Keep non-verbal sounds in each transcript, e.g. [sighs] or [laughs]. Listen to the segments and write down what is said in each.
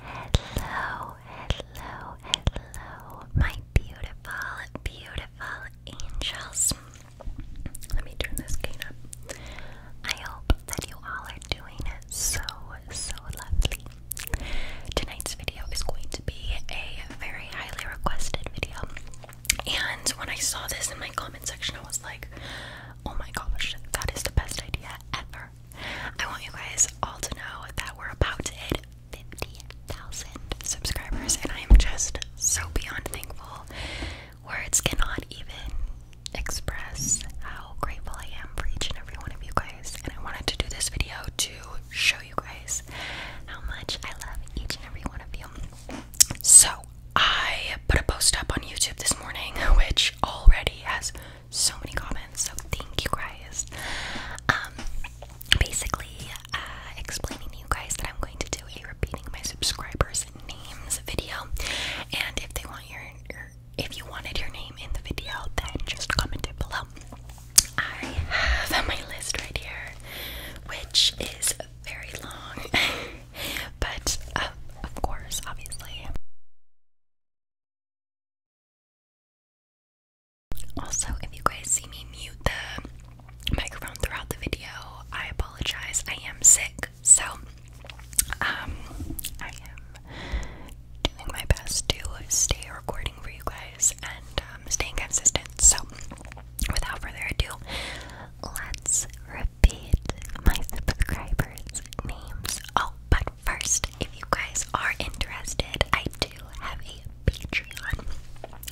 Hello, hello, hello, my beautiful, beautiful angels. Let me turn this cane up. I hope that you all are doing so, so lovely. Tonight's video is going to be a very highly requested video. And when I saw this in my comment section, I was like, Oh my gosh, that is the best idea ever. I want you guys all to know that we're about to hit 50,000 subscribers, and I am just so beyond thankful. Words cannot even express how grateful I am for each and every one of you guys. And I wanted to do this video to show you guys how much I love each and every one of you. So, I put a post up on YouTube this morning, which already has so many comments, so thank you guys. Um, basically, uh, explaining to you guys that I'm going to do a repeating my subscribers' names video, and if they want your if you wanted your name in the video, then just comment it below. I have my list right here, which is very long. [laughs] [laughs] but um, of course, obviously. Also, if you guys see me mute the microphone throughout the video, I apologize. I am sick, so um, I am doing my best to stay recording for you guys and um, staying consistent. So, without further ado, let's my subscribers' names. Oh, but first, if you guys are interested, I do have a Patreon.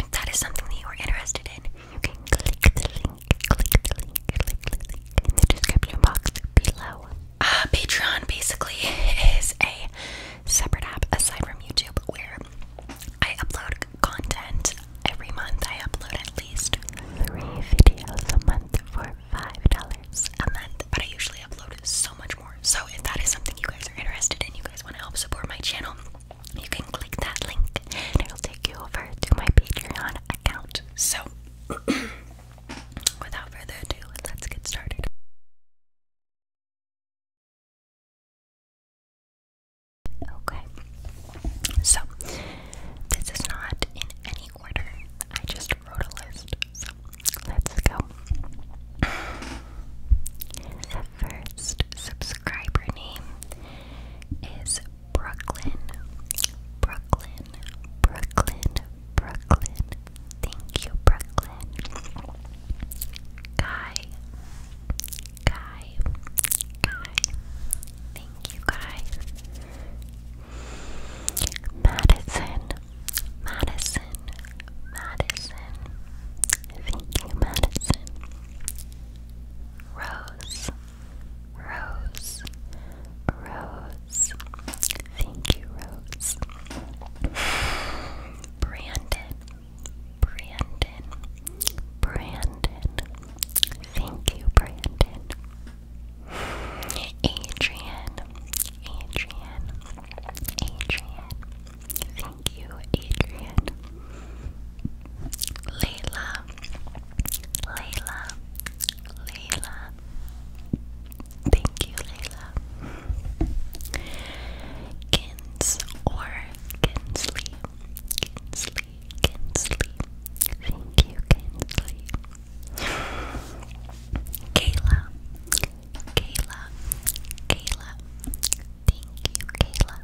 If that is something that you are interested in, you can click the link, click the link, click the link in the description box below. Uh, Patreon basically [laughs] is a separate app aside from YouTube where I upload content Every month I upload at least three videos a month for $5 a month, but I usually upload so much more. So if that is something you guys are interested in, you guys want to help support my channel, you can click that link and it'll take you over to my Patreon account. So [clears throat] without further ado, let's get started. Okay. So, this is not in any order. I just wrote a list. So let's go. The first subscriber name is Brooklyn. Brooklyn. Brooklyn. Brooklyn. Thank you, Brooklyn. Guy. Guy. Guy. Thank you, Guy. Madison, Madison, Madison. Thank you, Madison. Rose, Rose, Rose. Thank you, Rose. Brandon, Brandon, Brandon. Thank you, Brandon. Adrian, Adrian, Adrian. Thank you, Adrian. Layla, Layla, Layla. Thank you, Layla. Kins Kinsley, Kinsley, Kinsley. Thank you, Kinsley. Kayla. Kayla. Kayla. Thank you, Kayla.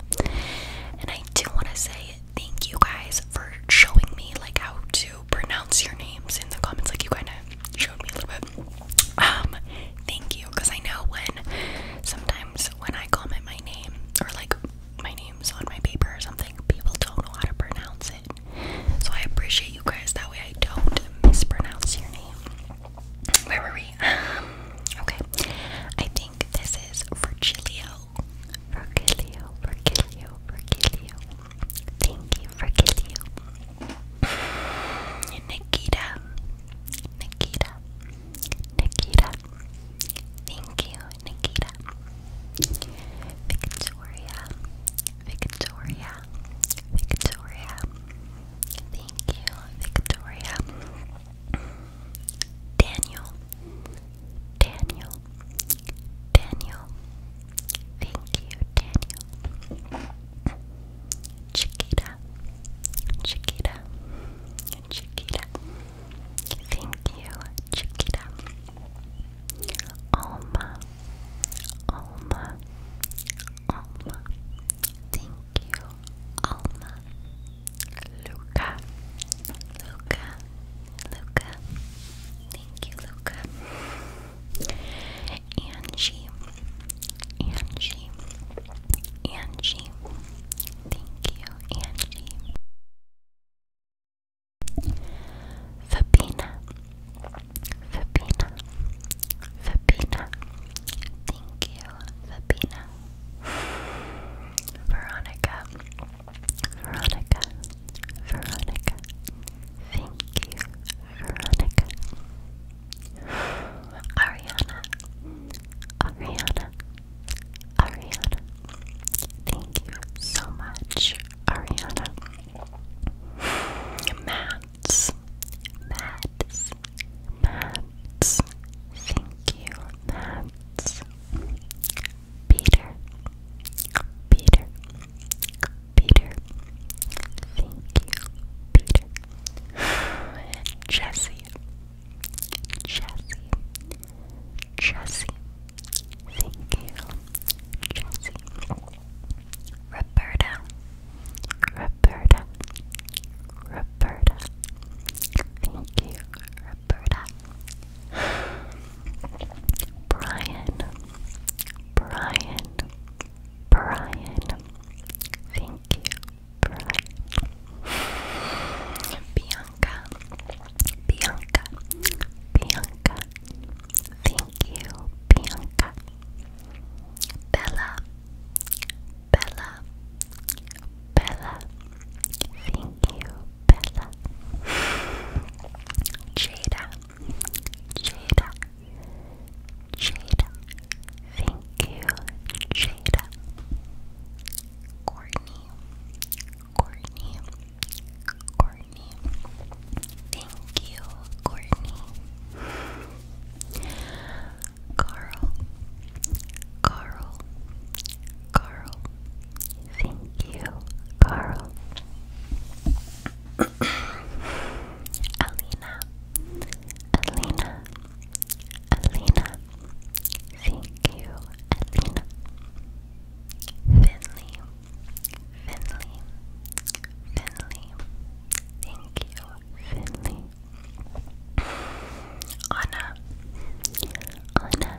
And I do want to say thank you guys for showing me like how to pronounce your names in the comments. Like you kind of showed me a little bit. Um, thank you, because I know when sometimes when I comment my name or like my name's on my paper or something, people don't know how to pronounce it. So I appreciate you guys. That way I don't mispronounce your name. Where were we? Um, okay. I think this is Virgilio. Virgilio, Virgilio, Virgilio. Thank you, Virgilio. [sighs] Nikita. Nikita. Nikita. Thank you, Nikita. Victoria, Victoria, Victoria. Thank you, Victoria. Daniel, Daniel, Daniel. Thank you, Daniel. Chiquita, Chiquita, Chiquita. Thank you, Chiquita. Alma, Alma, Alma. Thank you, Alma. Luca, Luca, Luca. Thank you, Luca. Angie, Angie, Angie. Thank you, Angie. Fabina, Fabina, Fabina. Thank you, Fabina. Veronica, Veronica, Veronica. Thank you, Veronica. Ariana, Ariana. Ariana. Thank you so much, Ariana. Mats, Mats, Mats. Thank you, Mats. Peter, Peter, Peter. Thank you, Peter. [sighs] Jesse, Jesse, Jesse. Thank you, Roberta, Roberta, Roberta. Thank you, Roberta. Brian, Brian, Brian. Thank you, Brian. Bianca, Bianca, Bianca. Thank you, Bianca. Bella, Bella, Bella. Thank you, Bella. Jada, Jada, Jada. Thank you, Jada. Courtney, Courtney. Courtney. Thank you, Courtney. Carl. Carl. Carl. Thank you, Carl. Alina. Alina. Alina. Thank you, Alina. Finley, Finley, Finley. Thank you, Finley. Anna, Anna,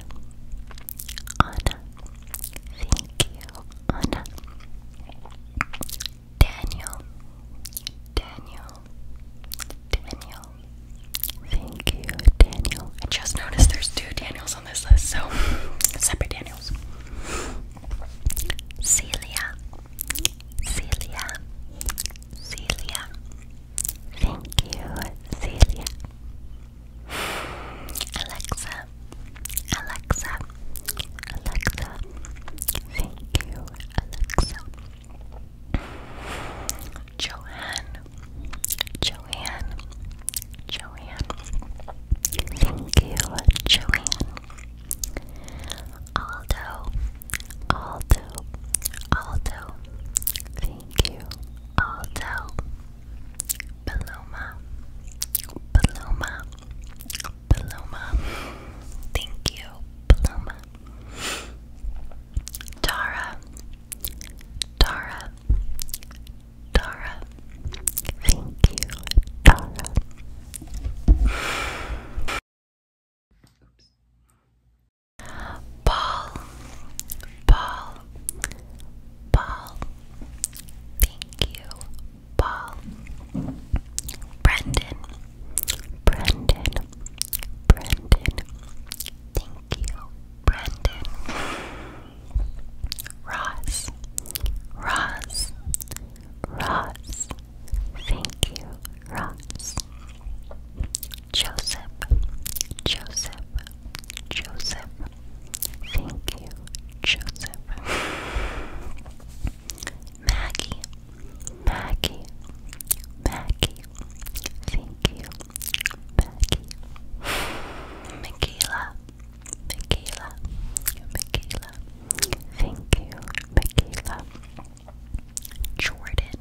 Anna. Thank you, Anna. Daniel, Daniel, Daniel. Thank you, Daniel. I just noticed there's two Daniels on this list, so [laughs] separate Daniels. Celia, Celia, Celia. Thank you, Celia. Alexa, Alexa, Alexa. Thank you, Alexa. Joanne, Joanne, Joanne. Thank you, Joanne. Aldo, Aldo, Aldo. Thank you, Aldo. Paloma, Paloma, Paloma. Thank you, Paloma. Tara, Tara, Tara. Thank you, Tara. Paul, Paul, Paul. Thank you, Paul. Brendan, Brendan, Brendan. Thank you, Brandon Ross Ross Ross Thank you Ross Joseph Joseph Joseph Thank you Joseph Maggie Maggie Maggie Thank you Becky, Michaela, Michaela, Michaela, thank you, Michaela, Jordan,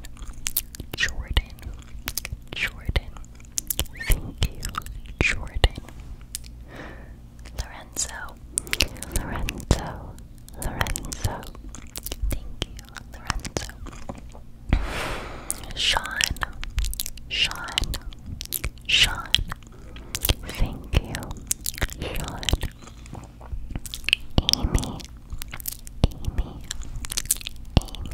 Jordan, Jordan, thank you, Jordan, Lorenzo, Lorenzo, Lorenzo, thank you, Lorenzo. Sean, Sean, Sean. Thank you, Sean. Amy, Amy, Amy. Thank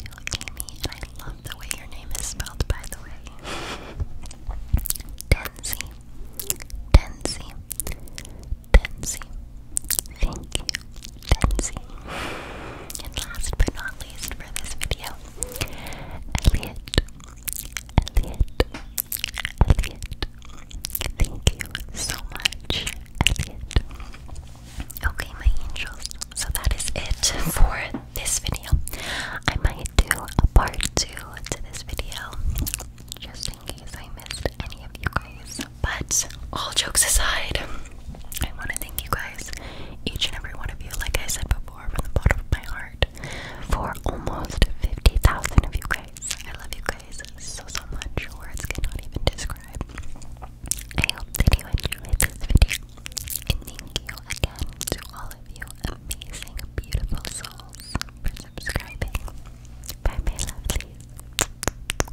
you, Amy. I love the way your name is spelled, by the way. Denzi, Denzi, Denzi. Thank you, Denzi. And last but not least for this video, Elliot. Elliot. Elliot. Thank you so much, Elliot. Okay, my angels. So that is it for this video. I might do a part two to this video just in case I missed any of you guys. But all jokes aside, I want to thank you guys, each and every one of you, like I said before, from the bottom of my heart, for almost 50,000 of you guys. I love you guys so, so much. Words cannot even describe. I hope that you enjoyed this video. And thank you again to all of you amazing, beautiful souls for subscribing. Bye, my lovelies.